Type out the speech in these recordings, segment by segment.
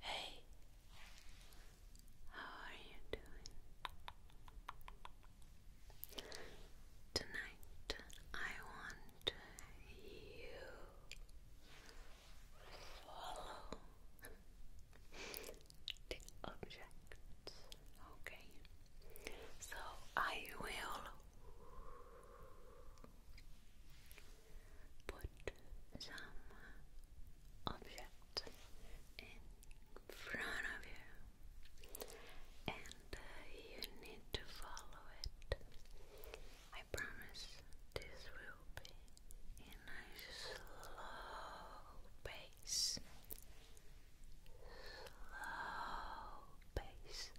Hey, how are you doing? Tonight I want you follow the objects, okay? So I will put some object in front of you and uh, you need to follow it. I promise this will be in a slow pace. Slow pace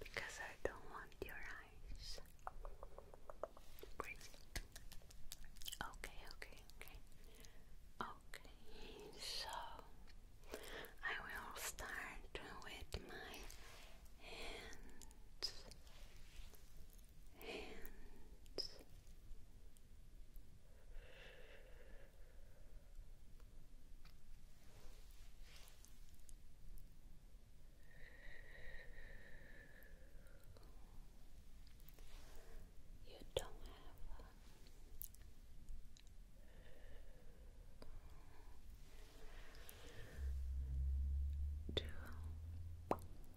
because I don't want your nice. Breathe. Okay, okay, okay. Okay, so I will start with my Hands. Hands. You don't have to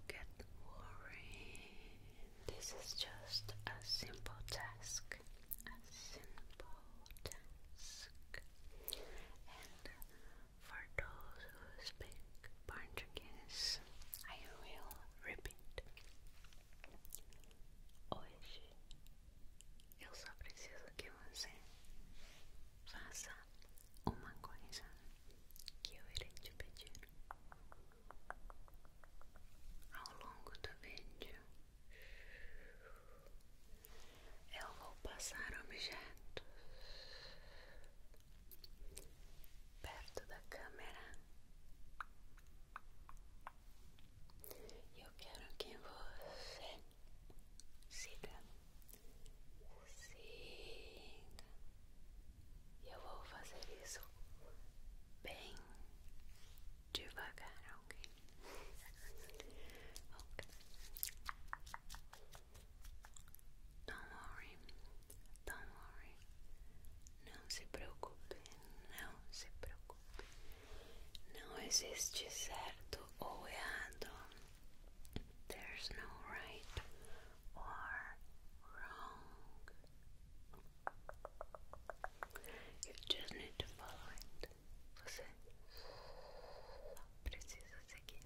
get worried. This is just a simple task. A simple task. For those who speak Portuguese, I will repeat. Hoje eu só preciso que você faça uma coisa que eu irei te pedir ao longo do vídeo. eu vou passar objetos perto da câmera e eu quero que você siga, siga, e eu vou fazer isso bem devagar, ok? Não se preocupe, não se preocupe. Não existe certo ou errado. There's no right or wrong. You just need to follow it. Você precisa seguir.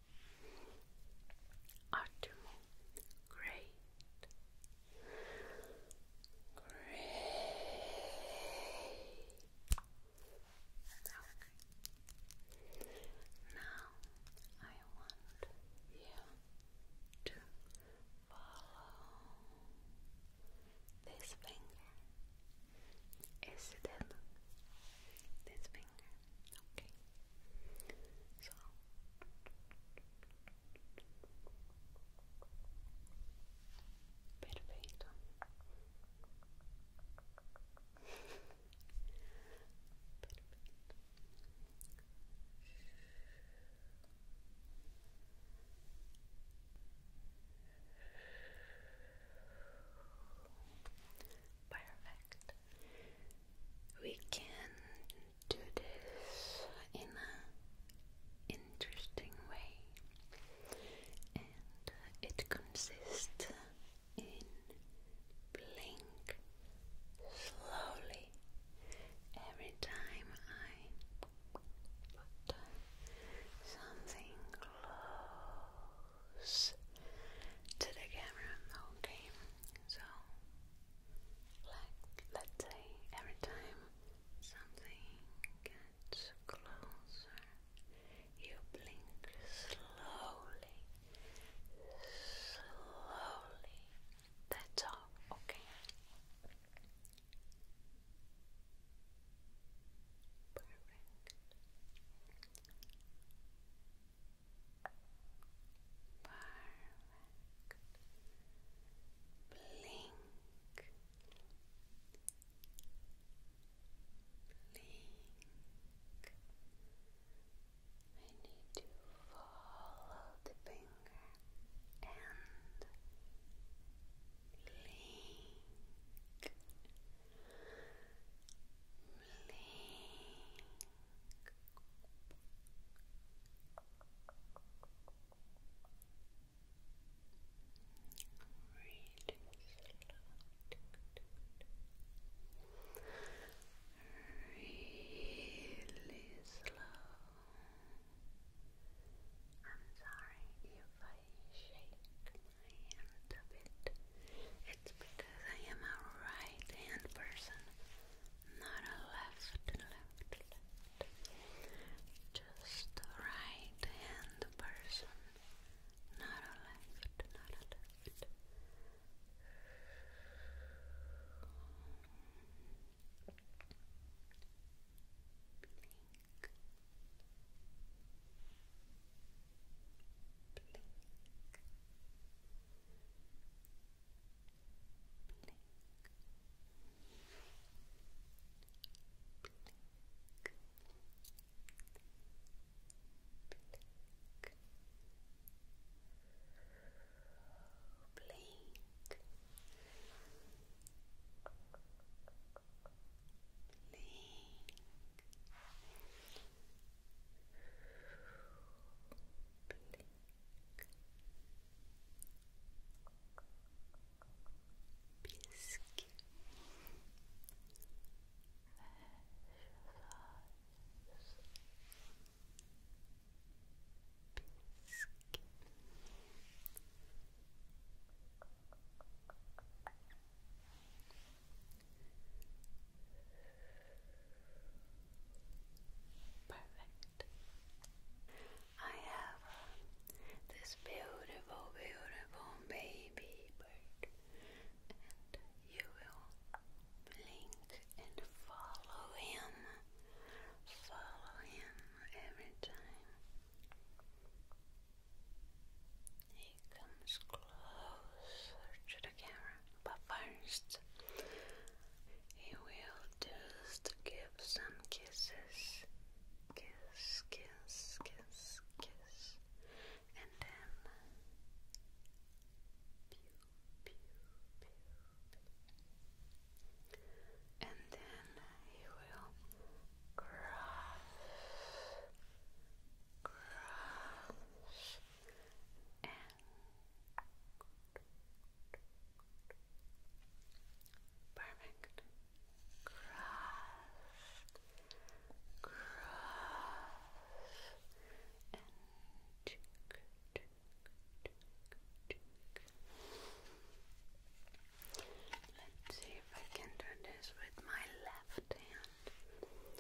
are to great, great. Now I want you to follow this finger. Is it? This finger finger. Okay. So perfeito. Perfect we can do this in an interesting way, and it consists in blink slowly every time I put something close to the camera. Okay, so, like, let's say every time something gets closer, you blink slowly, slowly. That's all, okay? Perfect. Perfect. Blink. Blink. I need to follow the finger and blink. Blink. Really slow. I'm sorry if I shake a bit. It's because I am a right hand person, not a left, left, left. Just a right hand person, not a left, not a left. Blink. Blink. Blink blink. Biscuit. Biscuit. Perfect. I have um, this beautiful, beautiful baby bird, and you will blink and follow him, follow him every time. He comes closer to the camera. But first, he will just give some kisses. Kiss, kiss, kiss, kiss. And then. Pew, pew, pew, And then he will crush, crush, and Perfect. Cross, cross, and Let's see if I can do this with my left hand.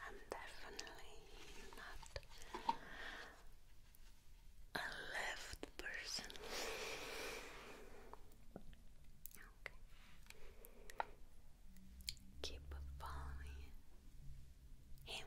I'm definitely not a left person. Keep following him.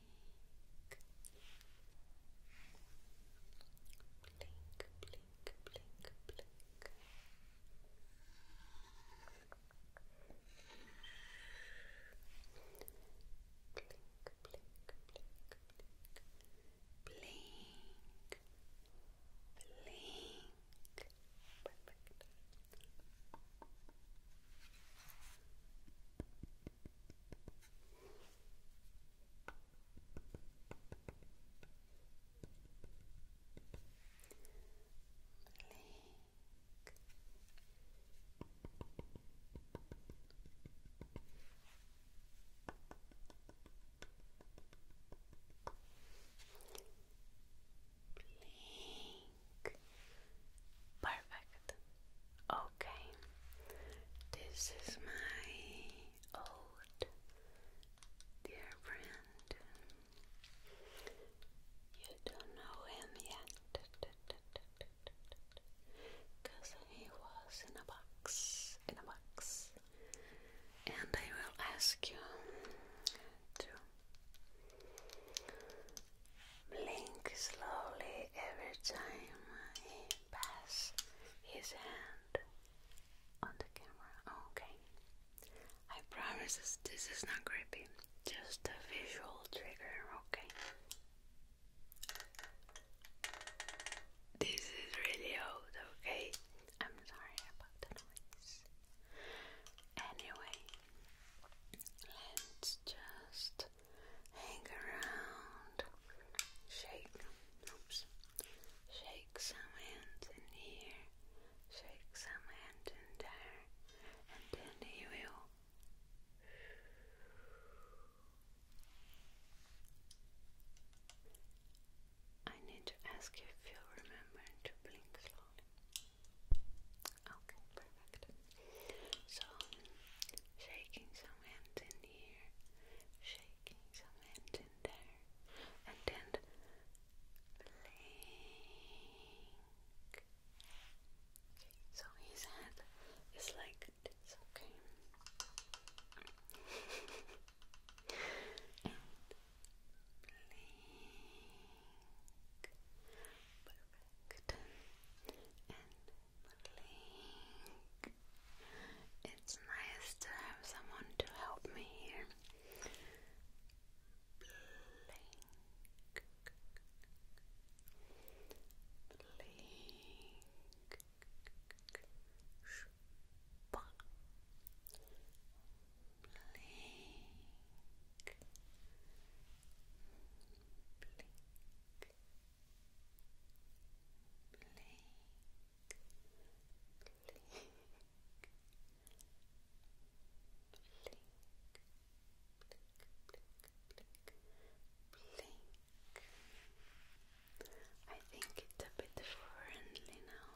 blink, blink, blink, blink. Blink, blink, blink, blink. Blink. Blink. Perfect. Blink. Perfect. Okay. This is my old dear friend. You don't know him yet. Because he was in a box. In a box. And I will ask you to Blink slowly every time he pass his hand on the camera. Okay. I promise this is not creepy, just a visual trigger, okay? This is really old, okay? I'm sorry about the noise. Anyway, let's just hang around, shake, oops, shake some hands in here, shake some hands in there, and then you will I need to ask if you remember to blink slowly. Okay, perfect. So, shaking some hands in here, shaking some hands in there, and then so his head is like this, okay? perfect and It's nice to have someone to help me Blink. Blink. Blink blink. I think it's a bit friendly now.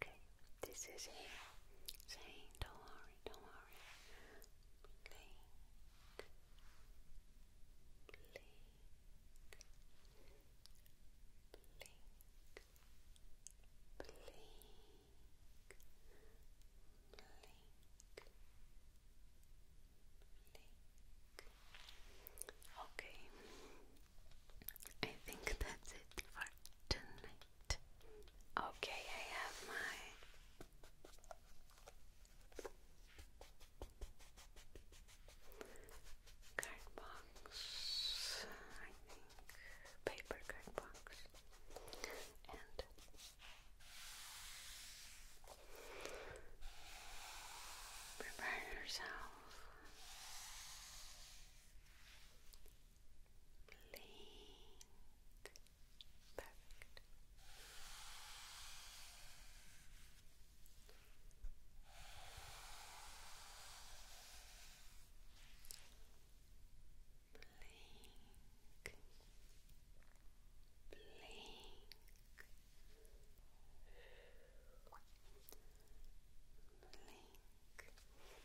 Okay, this is here. Saying, don't worry, don't worry blink, blink, Okay, I think that's it for tonight. Okay, I have my Card box, I think, paper card box, and prepare yourself. Blink, Perfect. Blink. Blink. Blink. Blink.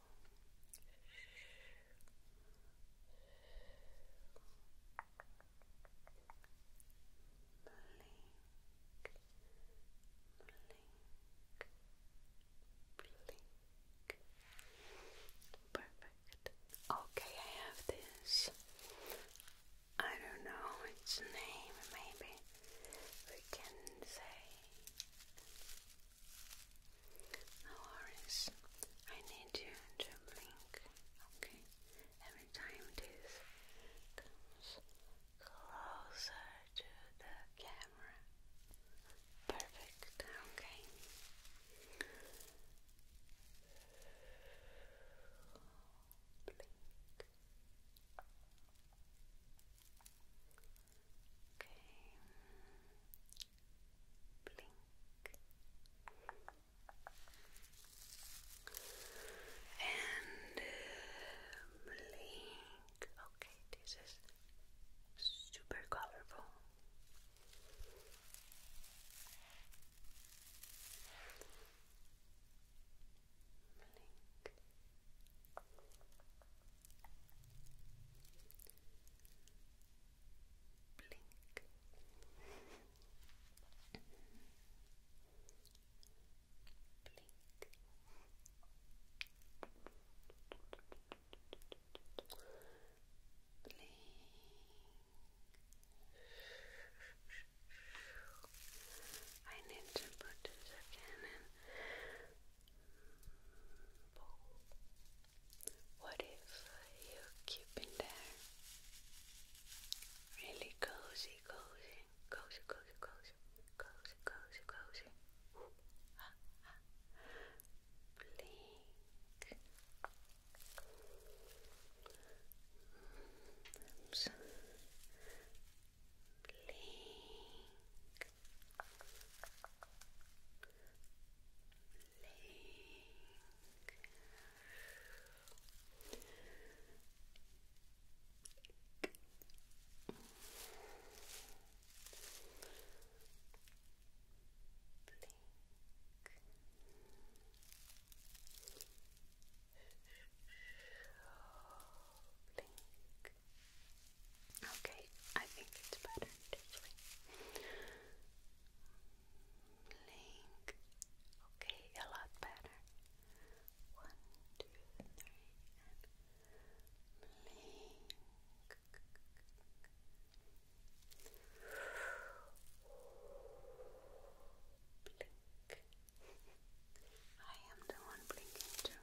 blink. Perfect. Okay, I have this. I don't know its name, maybe we can say no worries. I need you to blink, okay? Every time this comes closer to the camera. Perfect, okay. Blink. Okay blink. And blink. Okay, this is super colorful. Blink. Blink. Blink. Blink. I need to put this again what if you keep in there? Really cozy, cozy, cozy, cozy, cozy, cozy, cozy, cozy. Ah, Blink. Mm, blink. Blink. Blink. Okay, I think it's better this way. Blink. Okay, a lot better. One, two, three, and blink. I am the one blinking too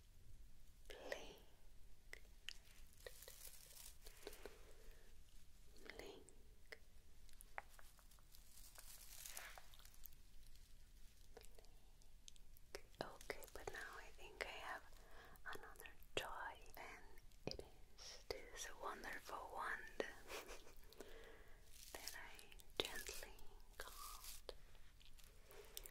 blink, blink. Okay, but now I think I have another toy, and it is this wonderful wand that I gently called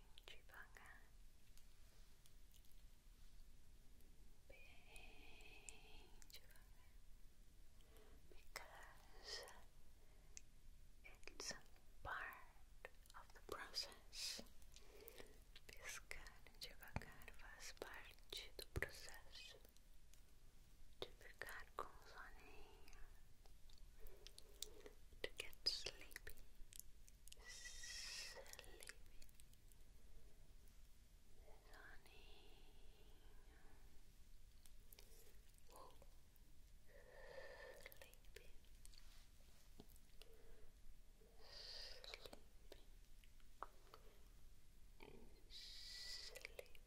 주방아 being because it's part of the process piscar devagar faz parte do processo sleepy, sunny. Whoa. Sleepy, sleepy, sleepy, sleepy.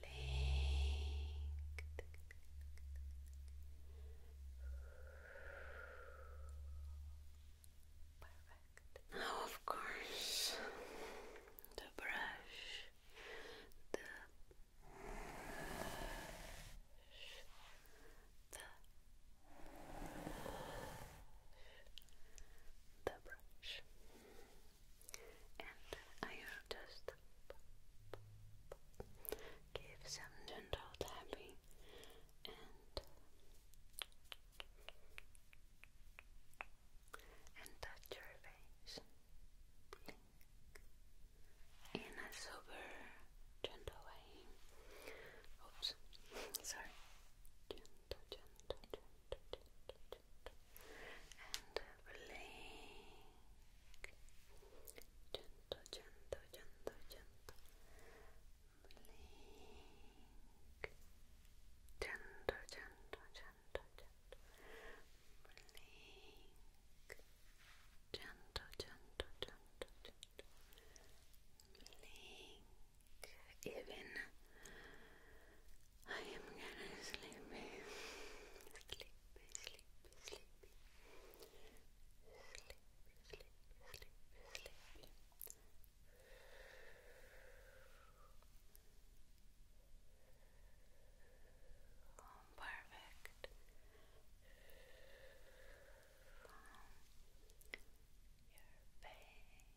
Blink. Now, of course, the brush, the the the brush and i just give some gentle tapping and and touch your face in a super gentle way. Oops, sorry and blink. Gentle, gentle, gentle, gentle. Blink. Gentle, gentle, gentle, gentle. Blink. Gentle, gentle, gentle, gentle. Blink even I am gonna sleep, sleepy sleepy sleepy sleepy sleepy sleepy sleepy oh, perfect Calm your face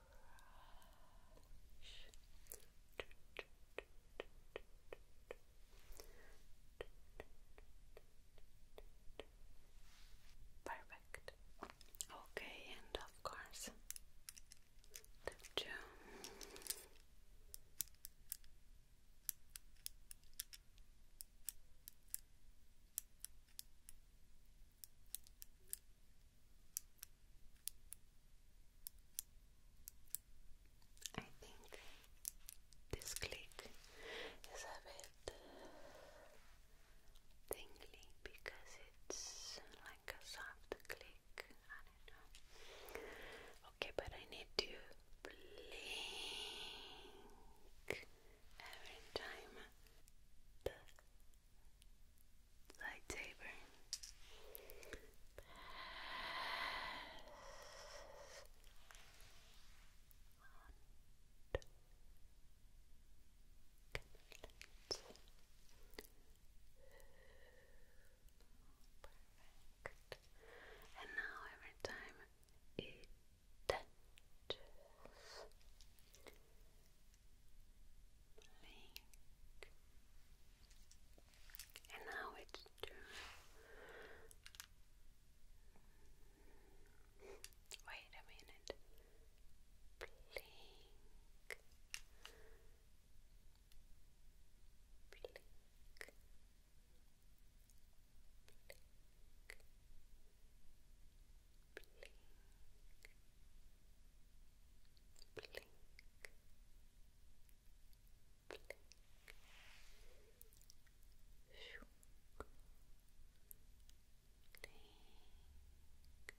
Perfect. Okay, and of course, the gem. I think this click is a bit tingly because it's like a soft click. Okay, but I need to blink every time like And Perfect. And now every time it touches blink. And now it's true. Wait a minute. Blink. Blink. Blink. Blink blink, blink, Shoo. blink. Blink,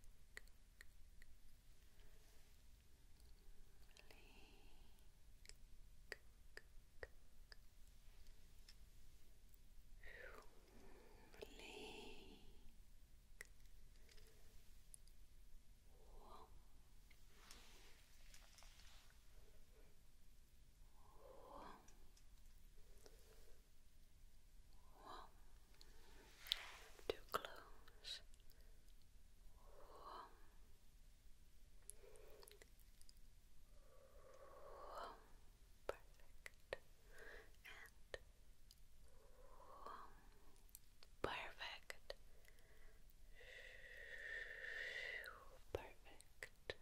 blink, too close. Whoa. Whoa. Perfect. And Perfect. Perfect. Please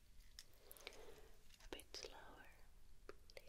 a bit slower. Blink.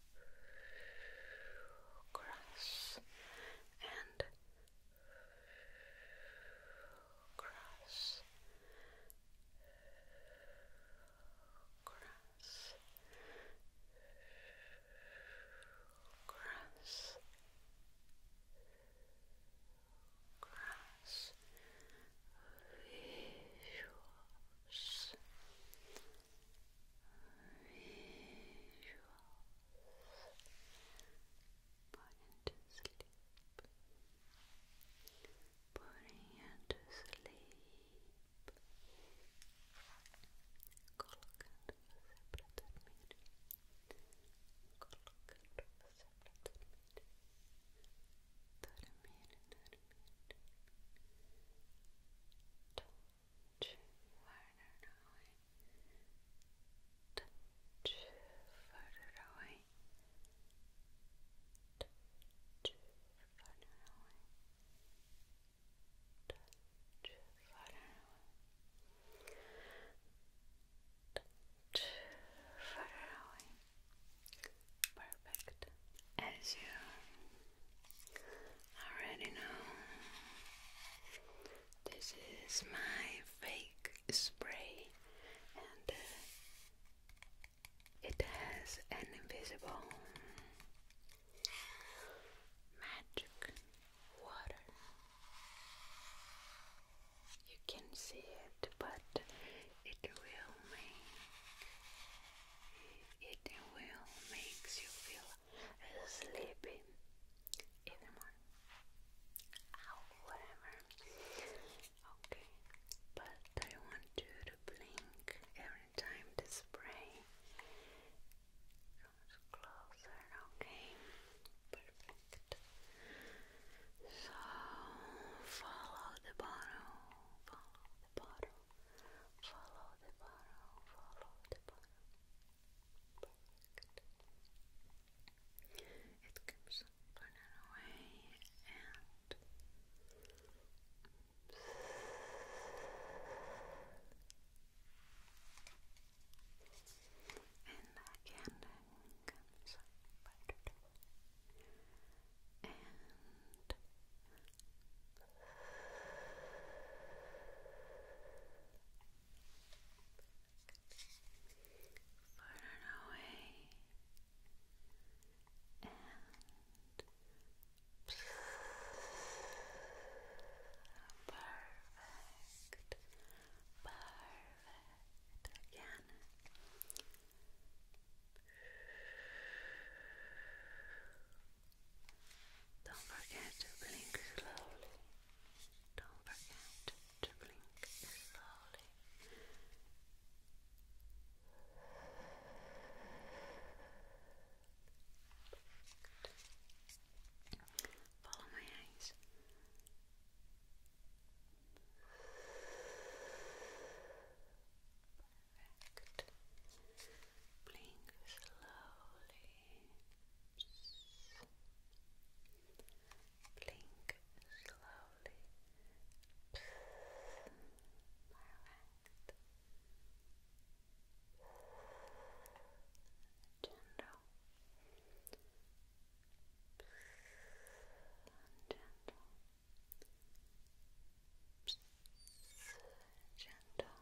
grass and grass grass grass grass visuals putting to sleep, putting you to sleep, colocando você para dormir, further away, touch further away, touch further away, touch further away, touch further away. Perfect. As you already know this is my fake spray and uh, it has an invisible magic water. You can see it, but it will make it will makes you feel is even more. However, okay, but I want you to blink every time the spray comes closer, okay? Perfect. So follow the bottle, follow the bottle, follow the bottle, follow the bottle. It keeps burning away and and the candle comes up and Further away and perfect, perfect again. Don't forget to blink slowly. Don't forget to blink slowly. Follow my eyes. Perfect. Blink slowly. Blink slowly. Perfect. Gentle. Gentle. Gentle.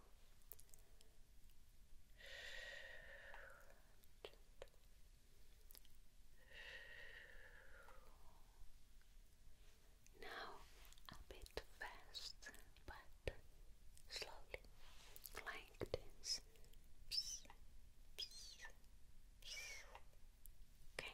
Now, a bit fast, but slowly, like this. Okay,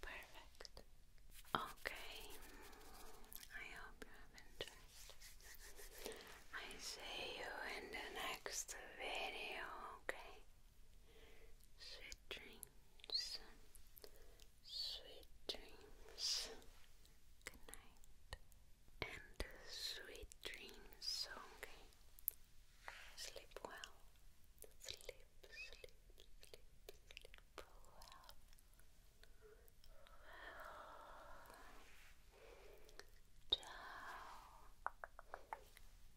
Perfect. Okay. I hope you have enjoyed. I see you in the next video, okay? Sweet dreams. Sweet dreams. Good night. And sweet dreams, okay? Sleep well. Sleep, sleep, sleep, sleep well. Well. Ciao.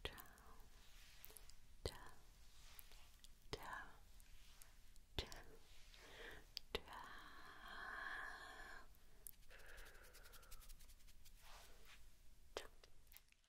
Ciao. Ciao. Ciao. Ciao.